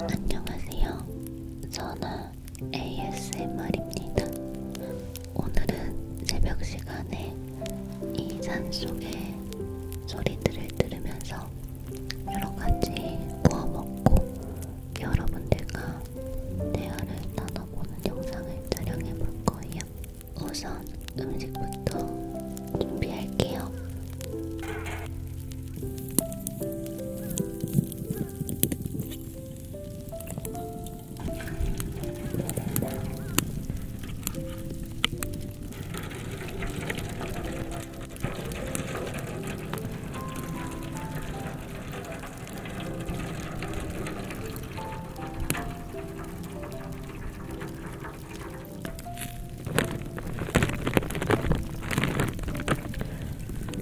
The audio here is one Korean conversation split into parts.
안녕하세요. 선아 ASMR입니다. 오늘은 새벽 시간에 이 산속의 소리들을 들으면서 여러 가지 구워 먹고 여러분들과 대화를 나눠보는 영상을 촬영해 볼 거예요. 우선 음식부터 준비할게요.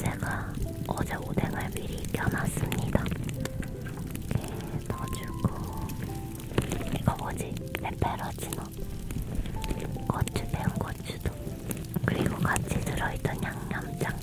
제가 어제 오뎅을 미리 껴놨습니다. 이렇게 넣어주고 이거 뭐지? 페페로치노 고추, 매운 고추도 그리고 같이 들어있던 양념장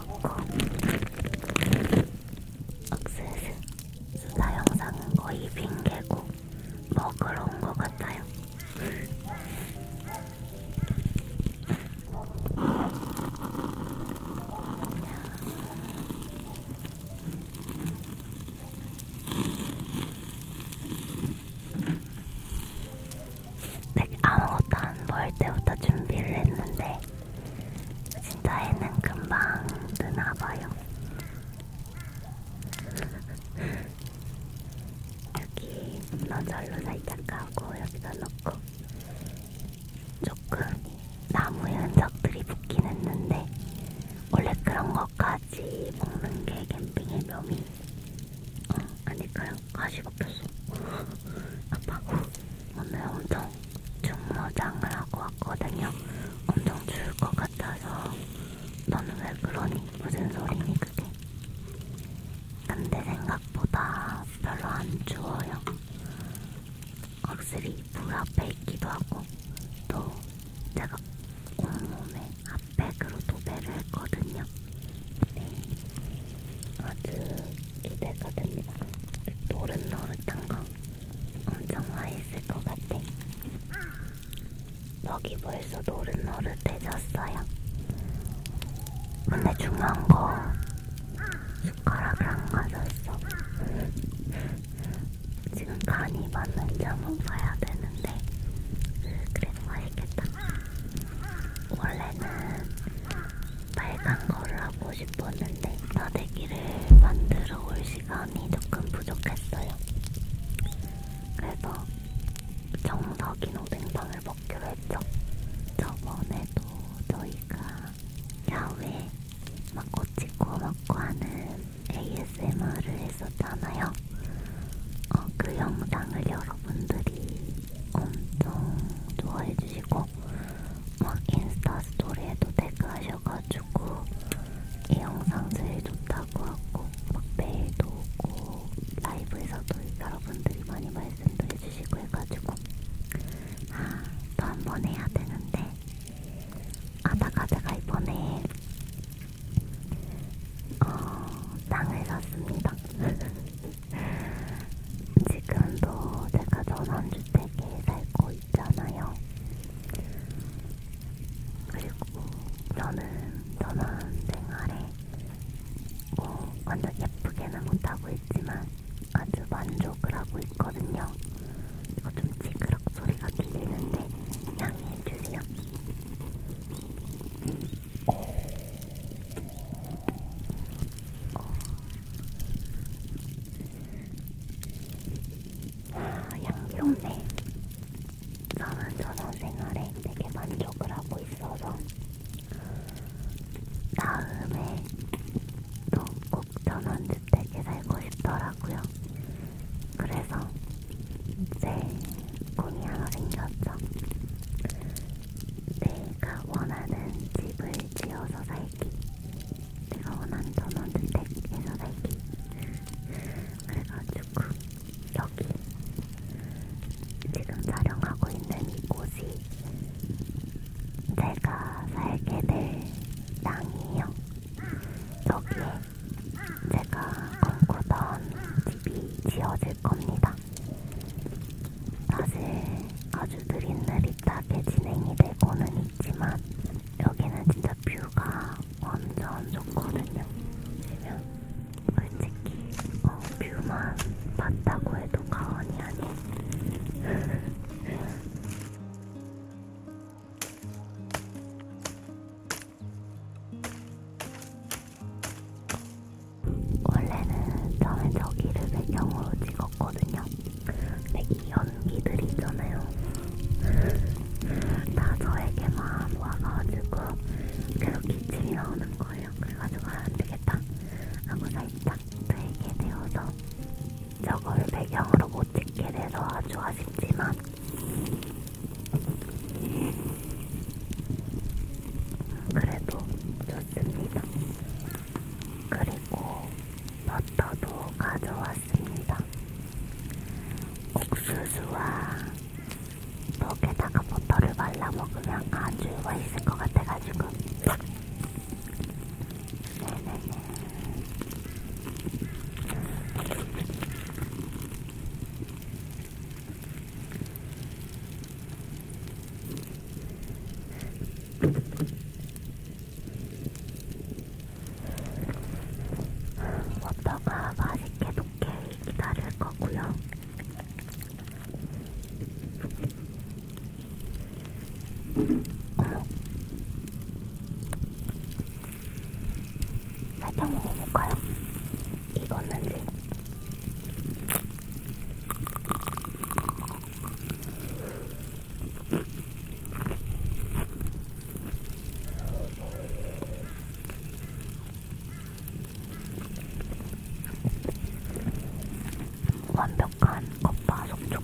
넣고 억세스 수다 영상은 거의 핑계고 먹으러 온 것 같아요. 백 아무것도 안볼 때부터 준비를 했는데 진짜 애는 금방 뜨나봐요. 여기 문어절로 살짝 가고 여기다 넣고 조금 나무의 흔적들이 붙긴 했는데 원래 그런 것까지 먹는 게 캠핑의 묘미 어, 아닐까요? 가시가 폈어. 아빠 오늘 엄청 중무장을 하고 왔거든요. 엄청 추울 것 같아서 너는 왜 그러니? 무슨 소리니 그게? 근데 생각보다 별로 안 추워요. 확실히 불 앞에 있기도 하고 또 제가 온몸에 핫팩으로 도배를 했거든요. 네. 아주 기대거든요. 노릇노릇한 거 엄청 맛있을 것 같아. 여기 벌써 노릇노릇해졌어요. 근데 중요한 거 숟가락을 안 가졌어. 지금 간이 맞는지 한번 봐야 되는데 음, 그래도 맛있겠다. 원래는 빨간 거를 하고 싶었는데 다대기를 만들어 올 시간이 조금 부족했어요. 그래서 정석인 오뎅탕을 먹기로 했죠. 저번에도 저희가 야외 막 꼬치고 먹고 하는 ASMR을 했었잖아요. 어, 그 영상을 여러분들이 엄청 좋아해주시고 막 인스타 스토리에도 댓글하셔가지고 이 영상 제일 좋다고 하고 막 메일도 오고 라이브에서도 여러분들이 많이 말씀도 해주시고 해가지고 아, 또 한 번 해야 되는데 아다가 제가 이번에 어, 땅을 샀습니다. 지금도 제가 전원주택에 살고 있잖아요. 그리고 저는 전원 생활에 뭐 완전 예쁘게는 못하고 있지만 아주 만족을 하고 있거든요. 이거 좀 찌그럭 소리가 들리는데 양해해주세요. 어, 아, 향기롭네. 저는 전원 생활에 되게 만족을 하고 있어서 다음에 또 꼭 전원주택에 살고 싶더라고요. 그래서 이제 꿈이 하나 생겼죠. 내가 원하는 집을 지어서 살기 내가 원하는 전원주택에서 살기 그래가지고 여기 지금 촬영하고 있는 이곳이 제가 살게 될 땅이에요 여기에 제가 꿈꾸던 집이 지어질 겁니다. 사실 아주 느릿느릿하게 진행이 되고는 있지만 여기는 진짜 뷰가 완전 좋거든요. 보시면 솔직히 어, 뷰만 봤다고 해도 과언이 아닌 원래는 처음에 저기를 배경으로 찍었거든요. 근데 이 연기들 있잖아요. 다 저에게만 와가지고 계속 기침이 나오는 거예요. 그래가지고 안 되겠다 하고 살짝 되게 되어서 저걸 배경으로 못 찍게 돼서 아주 아쉽지만 그래도 좋습니다. 그리고 버터도 가져왔습니다. 옥수수와 목에다가 버터를 발라 먹으면 아주 맛있을 것 같아가지고 네네네 워터가 맛있게 녹게 기다릴 거고요. 어. 살짝 먹어볼까요? 익었는지. 완벽한 겉바 속촉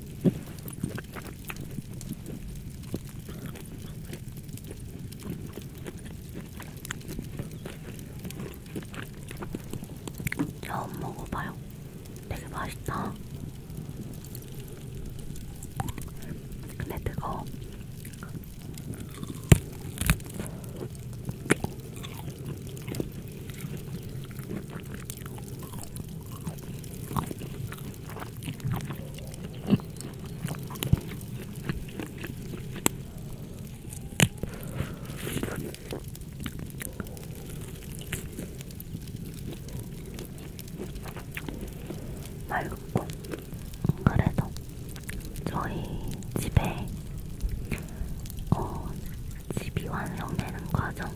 처음 먹어봐요. 되게 맛있다. 근데 뜨거워. 맑고 그래도 저희 집에 어, 집이 완성되는 과정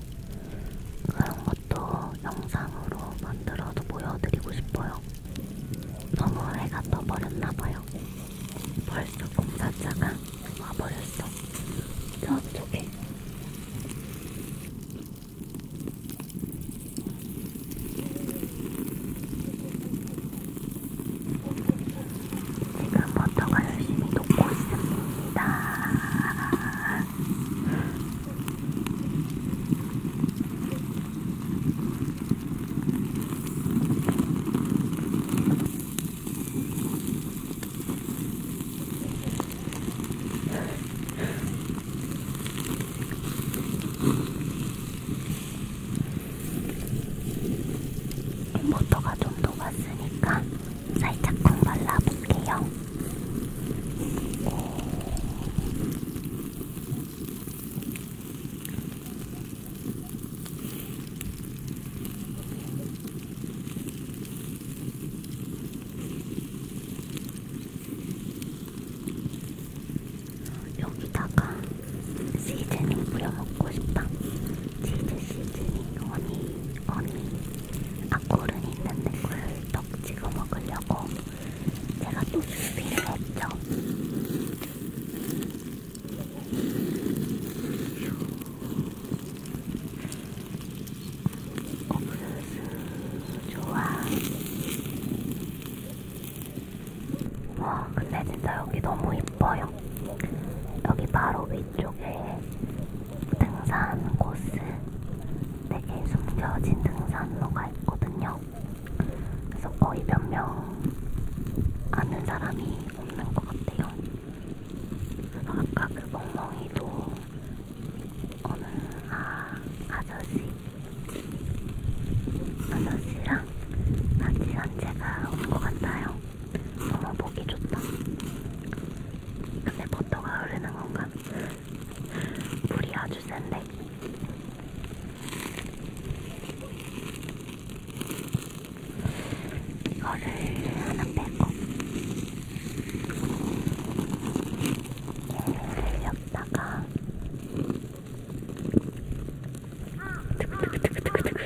그런 것도 영상으로 만들어서 보여드리고 싶어요. 너무 해가 떠버렸나봐요. 벌써 공사자가 와버렸어. 저쪽에. 지금 버터가 열심히 녹고 있습니다. 모터가 좀 녹았으니까 살짝 콩 발라볼게요. 네. 여기다가 시즈닝 뿌려먹고 싶다. 치즈 시즈닝, 허니, 허니. 아코르 있는 꿀떡 찍어 먹으려고 제가 또 준비를 했죠. 옥수수 좋아. 와 근데 진짜 여기 너무 이뻐요. 여기 바로 위 뒤쪽에 등산 코스 되게 숨겨진 등산로가 있거든요. 그래서 거의 몇 명 아는 사람이 없는 것 같아요. 그래서 아까 그 멍멍이도 어느 아, 아저씨 아저씨랑 같이 산책을 온것 같아요. 너무 아, 보기 좋다. 근데 버터가 흐르는 건가? 물이 아주 센데. 이거를 하나 빼고 얘를 엿다가 뜨그뜨그뜨그뜨그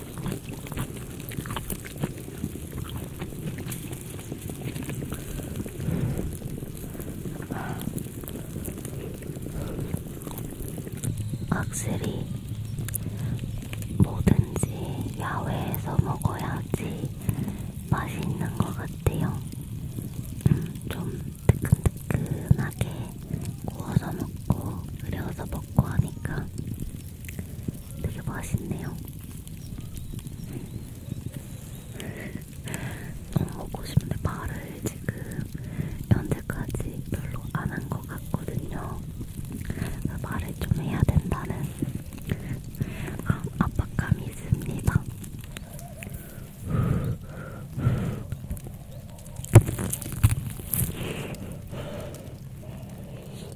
확실히 뭐든지 야외에서 먹어야지 맛있는 것 같아요. 음, 좀 뜨끈뜨끈하게 구워서 먹고 끓여서 먹고 하니까 되게 맛있네요. 너무 먹고 싶은데 말을 지금 현재까지 별로 안 한 것 같거든요. 말을 좀 해야 된다는 아, 압박감이 있습니다.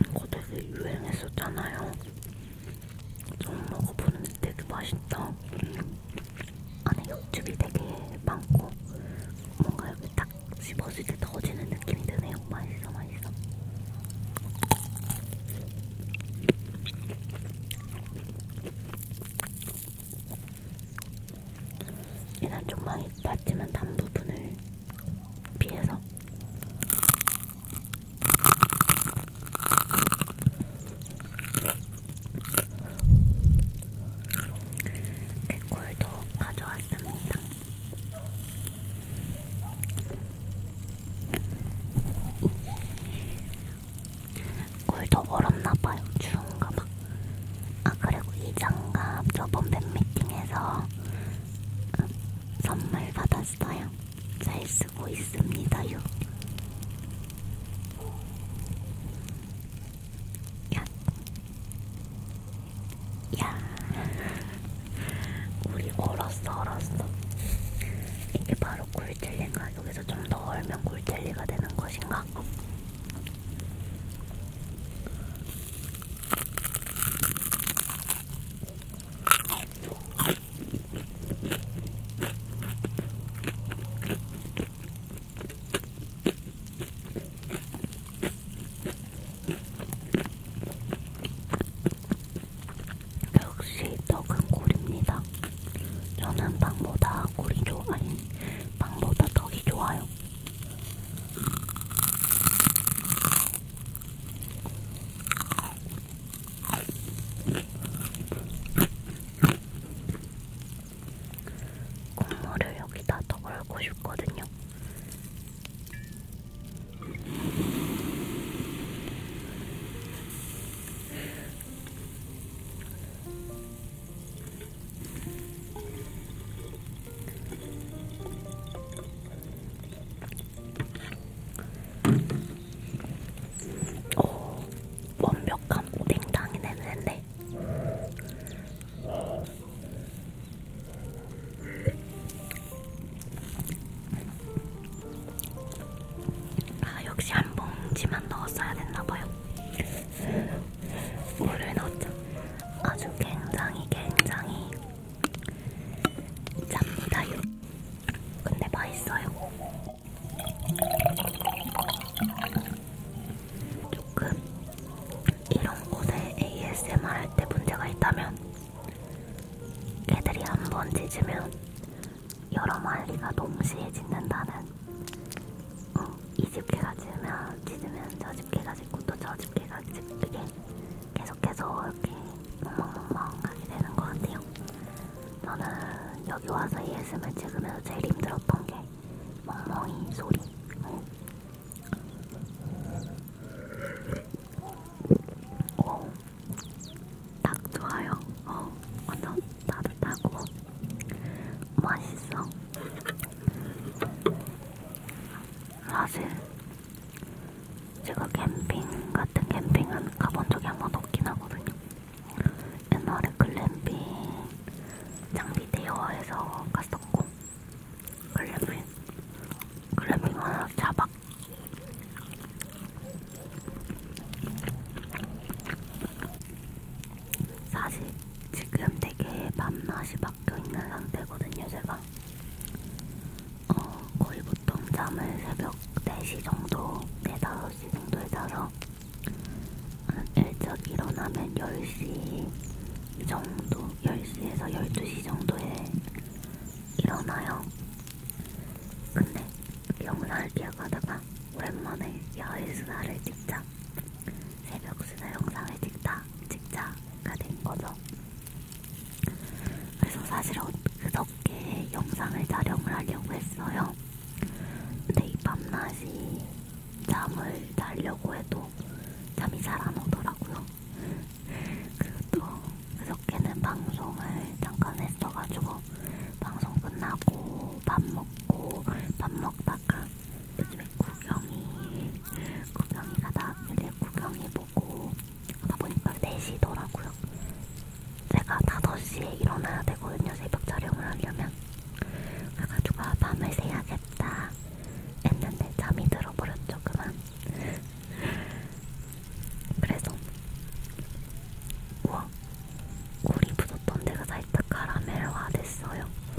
이거 되게 유행했었잖아요. 좀 먹어보는데 되게 맛있다. 안에 육즙이 되게 많고 뭔가 여기 딱 씹었을 때 더워지는 느낌이 드네요. 맛있어, 맛있어. 일단 좀 많이 봤지만 단 부분을 피해서 개꿀도 가져왔습니다. 꿀도 얼었나봐요. 추운가봐. 아 그리고 이 장갑 저번 팬미팅에서 선물 받았어요. 잘 쓰고 있습니다요. 야, 야, 우리 얼었어, 얼었어. 이게 바로 꿀젤리인가? 여기서 좀 더 얼면 꿀젤리가 되는 것인가? 역시 떡은 꿀입니다. 저는 빵보다 꿀이 좋아요. 빵보다 떡이 좋아요. 국물을 여기다 더 걸고 싶거든요. 오, 어, 완벽한 오뎅탕이 냄새인데. 아, 역시 한 봉지만 넣었어야 됐나봐요. 물을 넣었죠. 아주 굉장히 굉장히 짭니다요. 근데 맛있어요. 조금 이런 곳에 ASMR 할 때 문제가 있다면 개들이 한번 짖으면 여러 마리가 동시에 짖는다는 어, 이 집 개가 짖으면 짖으면 저집 개가 짖고 또 저 집 개가 짖게 계속해서 이렇게 멍멍멍멍 하게 되는 것 같아요. 저는 여기 와서 ASMR 찍으면서 제일 힘들었던 게 멍멍이 소리. 응. 어, 오, 딱 좋아요. 어, 완전 따뜻하고 맛있어. 사실 제가 캠핑 같은 캠핑은 가본 적이 한 번도 없긴 하거든요. 옛날에 글램핑 장비 대여해서 갔었고 글램핑 글램핑 하나 잡박 사실 지금 되게 밤낮이 막혀 있는 상태거든요, 제가. 어, 거의 보통 잠을 새벽 4시 정도, 4, 5시 정도에 자서 일찍 일어나면 10시 정도, 10시에서 12시 정도에 일어나요. 근데 영상을 기억하다가 오랜만에 야외 수다를 찍자, 새벽 수다 영상을 찍자, 찍자가 된 거죠. 그래서 사실 그저께 영상을 촬영을 하려고 했어요. 근데 이 밤낮이 잠을 자려고 해도 잠이 잘 안 오더라고요. 그리고 그저께는 방송을 잠깐 했어가지고 방송 끝나고 밥 먹고 밥 먹다가 요즘에 구경이 구경이가 나왔는데 구경이 보고 하다 보니까 4시더라고요. 제가 5시에 일어나야 되거든요. 새벽 촬영을 하려면. 그래가지고 아, 밤을 새야겠다 했는데 잠이 들어버렸죠. 그만. 그래서 우와 꿀이 묻었던 데가 살짝 카라멜화 됐어요.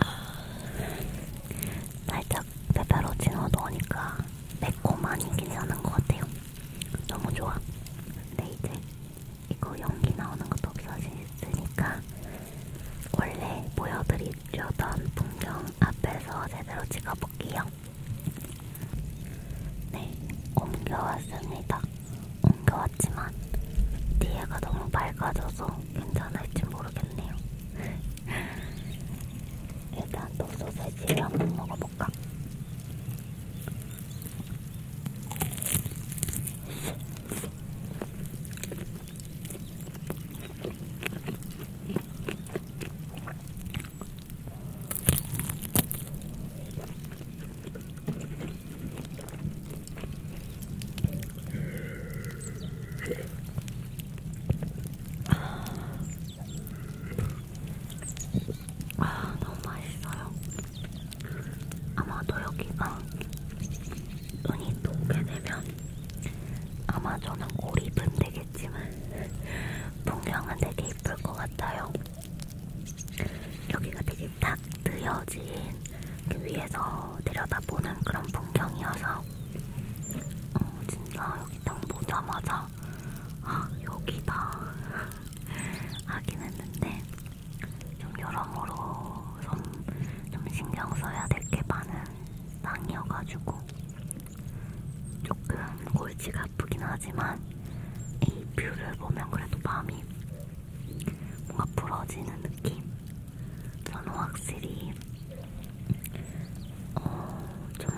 아, 살짝 페페로치노 넣으니까 매콤하니 괜찮은 것 같아요. 너무 좋아. 근데 이제 이거 연기 나오는 것도 없어지니까 원래 보여드리려던 풍경 앞에서 제대로 찍어볼게요. 네, 옮겨왔습니다. 옮겨왔지만 뒤에가 너무 밝아져서 괜찮을지 모르겠네요. 일단 또 소세지를 한번 먹어볼까? 아, 너무 맛있어요. 아마도 여기가 눈이 녹게 되면 아마 저는 고립은 되겠지만 풍경은 되게 이쁠 것 같아요. 여기가 되게 딱 뜨여진 그 위에서 내려다보는 그런 풍경이어서 어, 진짜 여기 딱 보자마자 아 여기다 하긴 했는데 좀 여러모로 손좀 신경 써야 될 게 많은 땅이어가지고 조금 골치가 아프긴 하지만 이 뷰를 보면 그래도 마음이 뭔가 부러지는 느낌? 저는 확실히 어, 좀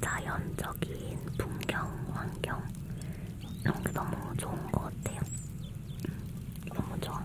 자연적인 풍경, 환경 이런 게 너무 좋은 것 같아요. 너무 좋아.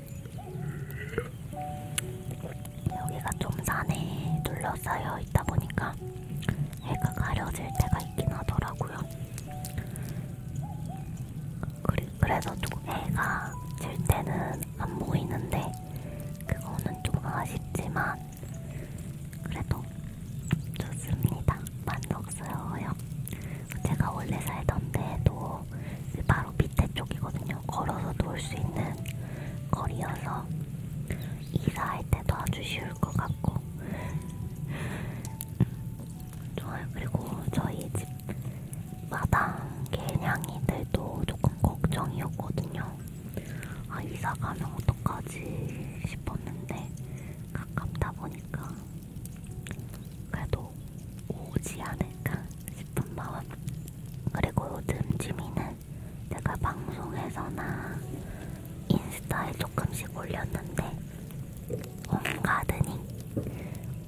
여기가 좀 산에 둘러싸여 있다 보니까 해가 가려질 때가 있긴 하더라고요. 그래서 좀 해가 질 때는 안 보이는데 그거는 좀 아쉽지만 그래도 좋습니다. 만족스러워요. 제가 원래 살던 데도 네, 바로 밑에 쪽이거든요. 걸어서 놓을 수 있는 거리여서 이사할 때도 아주 쉬울 것 같고 좋아요. 그리고 저희 집 마당 개냥이들도 조금 걱정이었거든요. 아 이사 가면 어떡하지 싶었는데 가깝다 보니까 그래도 오지 않을까 싶은 마음 그리고 요즘 지민은 제가 방송에서나 인스타에 조금씩 올렸는데 홈가드닝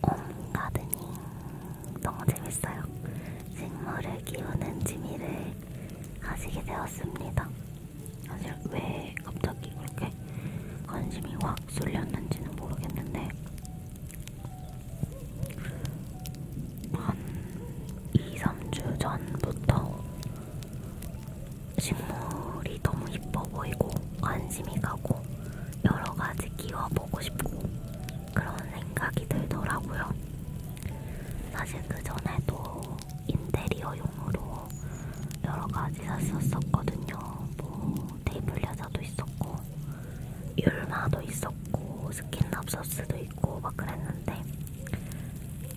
홈가드닝 너무 재밌어요 식물을 키우는 취미를 가지게 되었습니다 사실 왜 갑자기 그렇게 관심이 확 쏠렸는지는 모르겠는데 한 2, 3주 전부터 식물이 너무 이뻐 보이고 관심이 가고 여러 가지 키워보고 싶고 그런 생각이 들더라고요. 사실 그 전에도 인테리어용으로 여러 가지 샀었었거든요. 뭐 테이블 야자도 있었고 율마도 있었고 스킨랍서스도 있고 막 그랬는데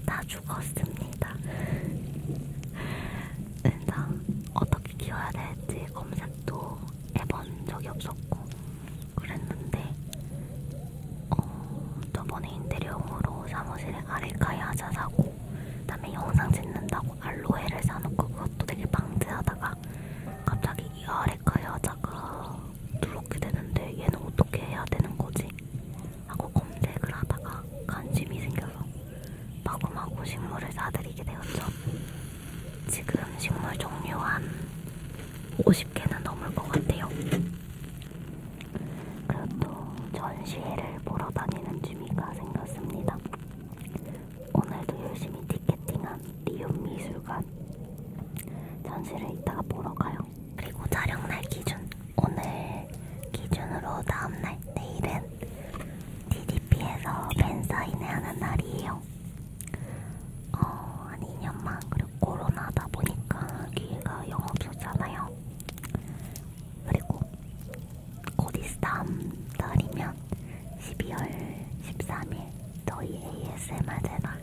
다 죽었습니다. 진짜 어떻게 키워야 될지 검색도 해본 적이 없었고 그랬는데 어, 저번에 인테리어로 사무실에 아레카야자 사고 그다음에 영상 찍는다고 알로에를 사놓고 그것도 되게 방지하다가 갑자기 이 아래가 여자가 누렇게 되는데 얘는 어떻게 해야 되는 거지? 하고 검색을 하다가 관심이 생겨서 마구마구 식물을 사들이게 되었죠. 지금 식물 종류 한 50개는 넘을 것 같아요. 그리고 또 전시회를 보러 다니는 취미가 생겼습니다. 오늘도 열심히 티켓팅한 리움미술관 전시를 이따가 보러 가요. 그리고 촬영날 기준 오늘 기준으로 다음날 내일은 DDP에서 팬사인회 하는 날이에요. 어, 한 2년만 그리고 코로나다 보니까 기회가 영 없었잖아요. 그리고 곧 있음 달이면 12월 13일 이제 저희 ASMR 채널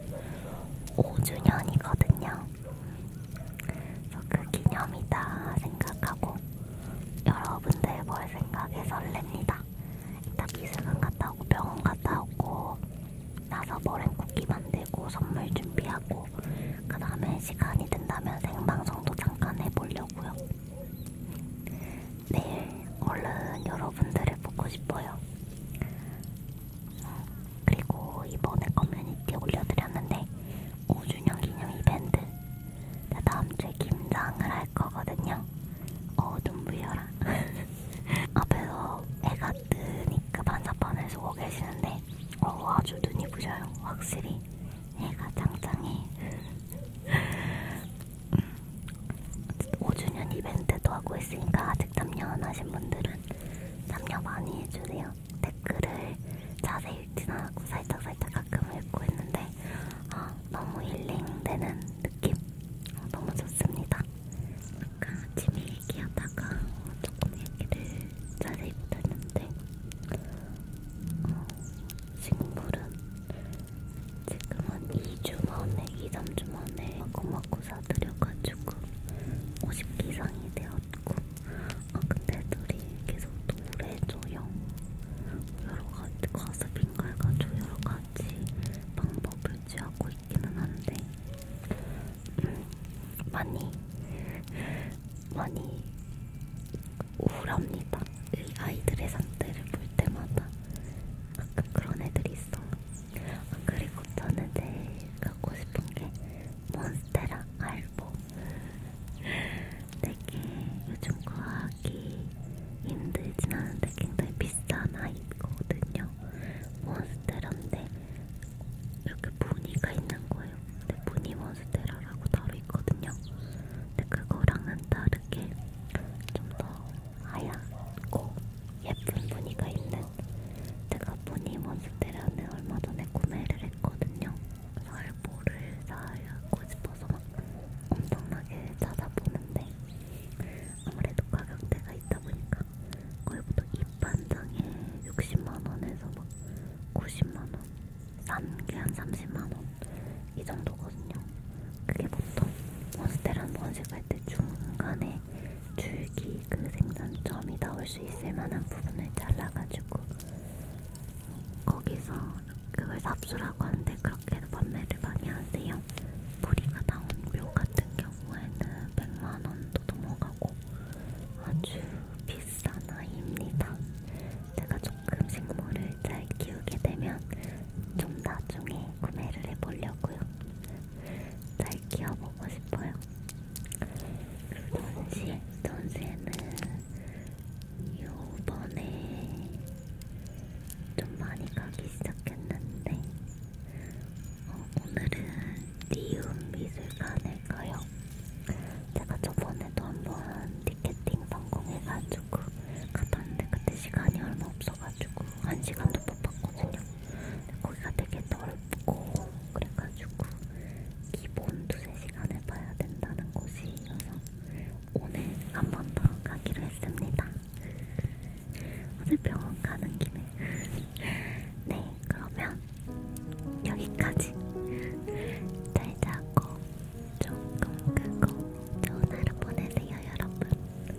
5주년이거든요. 그래서 그 기념이다 생각하고 여러분들 뭘 생각해 설렙니다. 이따 미술관 갔다 오고 병원 갔다 오고 나서 머랭쿠키 만들고 선물 준비하고 그 다음에 시간이 된다면 생방송도 잠깐 해보려고요. 내일 네, 얼른 여러분들을 보고 싶어요. 그리고 이번에 커뮤니티 올려드렸는데 5주년 기념 이벤트 나 다음주에 김장을 할 거거든요. 어 눈부여라. 앞에서 해가 뜨니까 반사판에서 오고 계시는데 어 아주 눈이 부셔요. 확실히 해가 짱짱해. 5주년 이벤트도 하고 있으니까 아직 참여 안 하신 분들은 참여 많이 해주세요. 댓글을 자세히 읽진 않았고 살짝살짝 가끔 읽고 했는데 아, 너무 힐링되는 느낌 아, 너무 좋습니다. 아까 아침에 얘기하다가 조금 얘기를 자세히 못했는데 어, 식물은 지금은 2주 만에, 2, 3주 만에 마구마구 사들여가지고 50개 이상이 되었고 아 근데 둘이 계속 노래줘요 여러가지 과습인가해가지고 여러가지 방법을 취하고 있기는 한데 음, 많이 많이 우울합니다. 이 아이들의 상태를 볼 때마다 가끔 그런 애들이 있어. 아, 그리고 저는 제일 갖고 싶은 게 몬스테라 알보. 되게 요즘 구하기 힘들진 않은데 굉장히 비싼 아이거든요. 몬스테라인데 이렇게 무늬가 있는 거예요. 근데 무늬 몬스테라라고 따로 있거든요. 근데 그거랑은 다르게 좀더 하얗고 예쁜 무늬가 있는 제가 무늬 몬스테라는 얼마 전에 구매를 했거든요. 살보를 사고 싶어서 막 엄청나게 찾아보는데 아무래도 가격대가 있다 보니까 거기부터 입반장에 60만원에서 막 90만원 싼게한 30만원 이 정도거든요. 뭐, 그게 보통 몬스테란 번식할 때 중간에 줄기 그 생산점이 나올 수 있을 만한 부분을 잘라가지고 거기서 그걸 삽수라고 하는데 그렇게도 판매를 많이 하세요. 뿌리가 나온 묘 같은 경우에는 100만원도 넘어가고 아주 비싼 아이입니다. 제가 조금 식물을 잘 키우게 되면 좀 나중에 구매를 해보려고요. 날 키워보고 싶어요. 전시, 전시는 요번에 좀 많이 가기 시작했는데 어, 오늘은 리움 미술관에 가요. 제가 저번에도 한번 티켓팅 성공해가지고 갔다 왔는데 그때 시간이 얼마 없어가지고 한 시간도 못 봤거든요. 거기가 되게 넓고 그래가지고 기본 두세 시간을 봐야 된다는 곳이어서 오늘 한 번 더 가기로 했습니다. 오늘 병원 가는 김에 네 그러면 여기까지 잘 자고 조금 끄고 좋은 하루 보내세요 여러분.